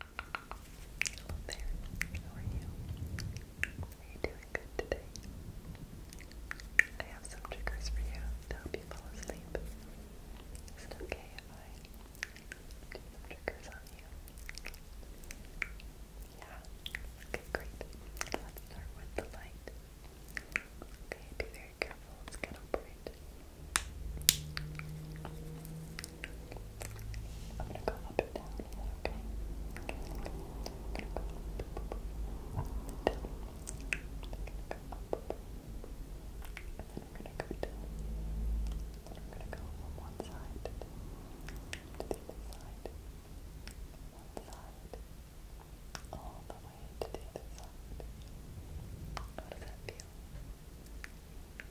Hello there, how are you? Are you doing good today? I have some triggers for you to help you fall asleep. Is it okay if I do some triggers on you? Yeah? Okay, great. Let's start with the light. Okay, be very careful. Let's get over I'm gonna go up and down. okay? I'm gonna go up, and down. I'm gonna go up, then I'm gonna go from one side to the other side. One side all the way to the other How does that feel? Okay.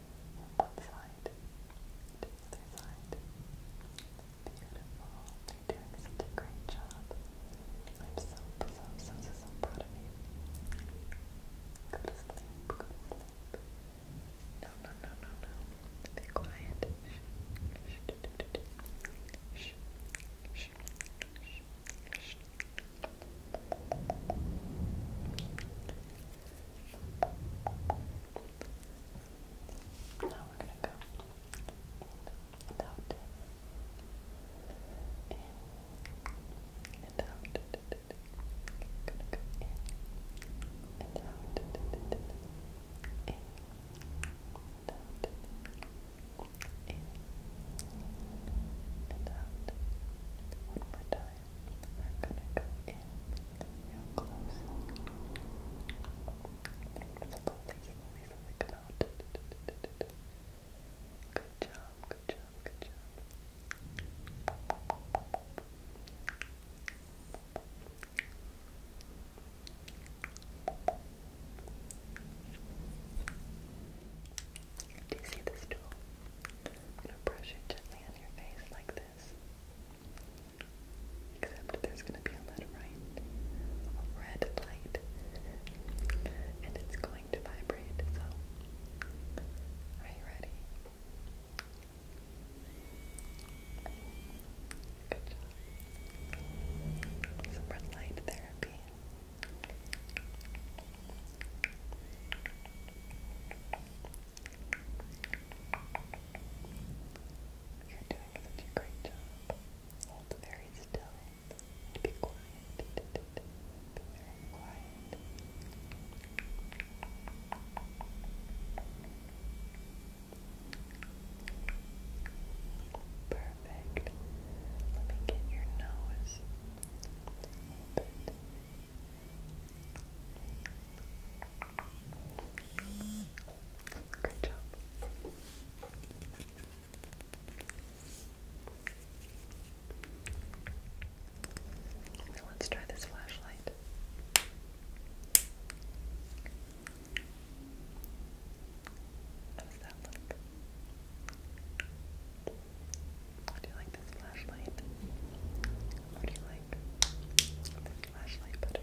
one side the other side. Beautiful. You're doing such a great job. I'm so, so, so, proud of you. Go to sleep. Go to sleep. No, no, no, no, no. Be quiet. Now we're going to go in and out. In and out. Gonna and out. and out. and out. One more time. I'm gonna go in real close. Before we come out. Good job, good job, good job. Do you see this tool? I'm gonna brush it gently on your face like this. Except there's gonna be a little red light, and it's going to vibrate. So, are you ready? Good Some red light therapy. You're doing such a great job. Hold very still be quiet. Be very quiet. Perfect. Let me get your nose. Good job. Now let's try this flashlight. How does that look? Do you like this flashlight? Or do you like this flashlight better?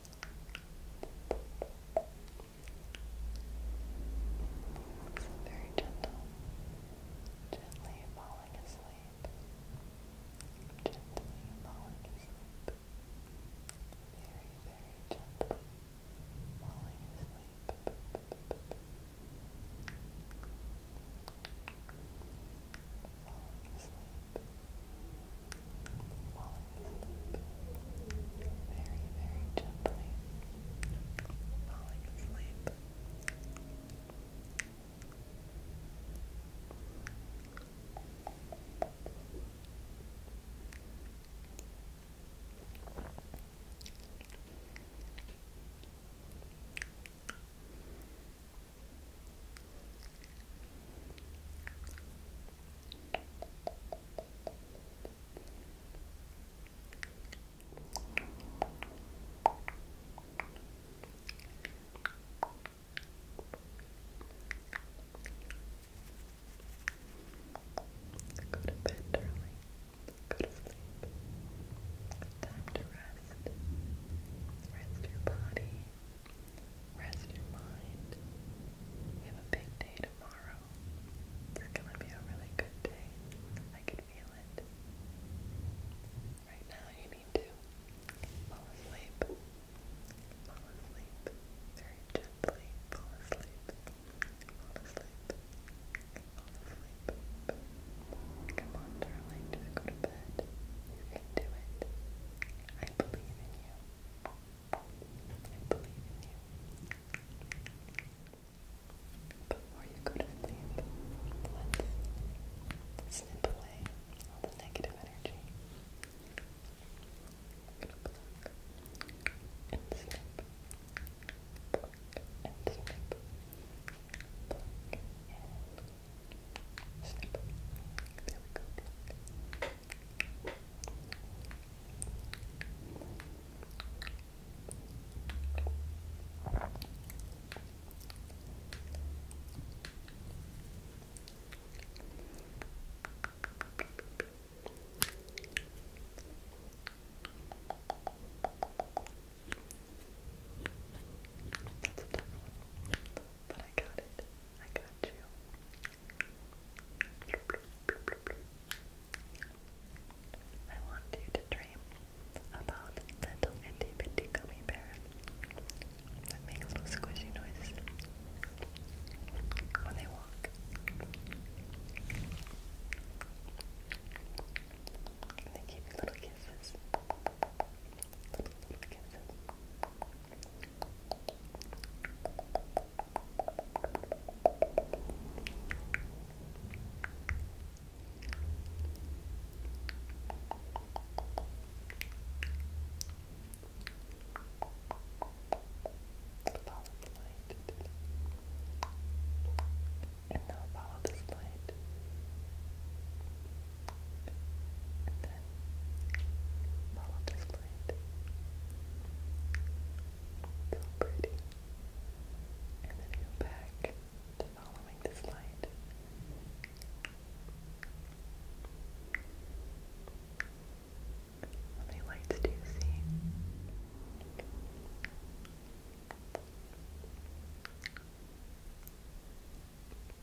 It's very gentle, gently falling asleep, gently falling asleep, very, very gently falling asleep. Falling asleep very, very gently falling asleep. Go to bed early. Go to sleep. Time to rest. Rest your body. Rest your mind. We have a big day tomorrow. It's gonna be a really good day. I can feel it. Right now, you need to fall asleep. Fall asleep. Very gently. Fall asleep. Fall asleep. Fall asleep. Come on, darling. Just go to bed. You can do it. I believe in you. I believe in you. Before you go to let's snip away all the negative energy. and snip. and snip. Pluck and Snip. There That's a tough one, but I got it. I got you. I want you to dream about little itty bitty gummy bears that little squishy noises when they walk. they give you little kisses. little kisses. Follow the light. And now follow this light and then model displayed. pretty. And then go back to following this light. How many lights do you see?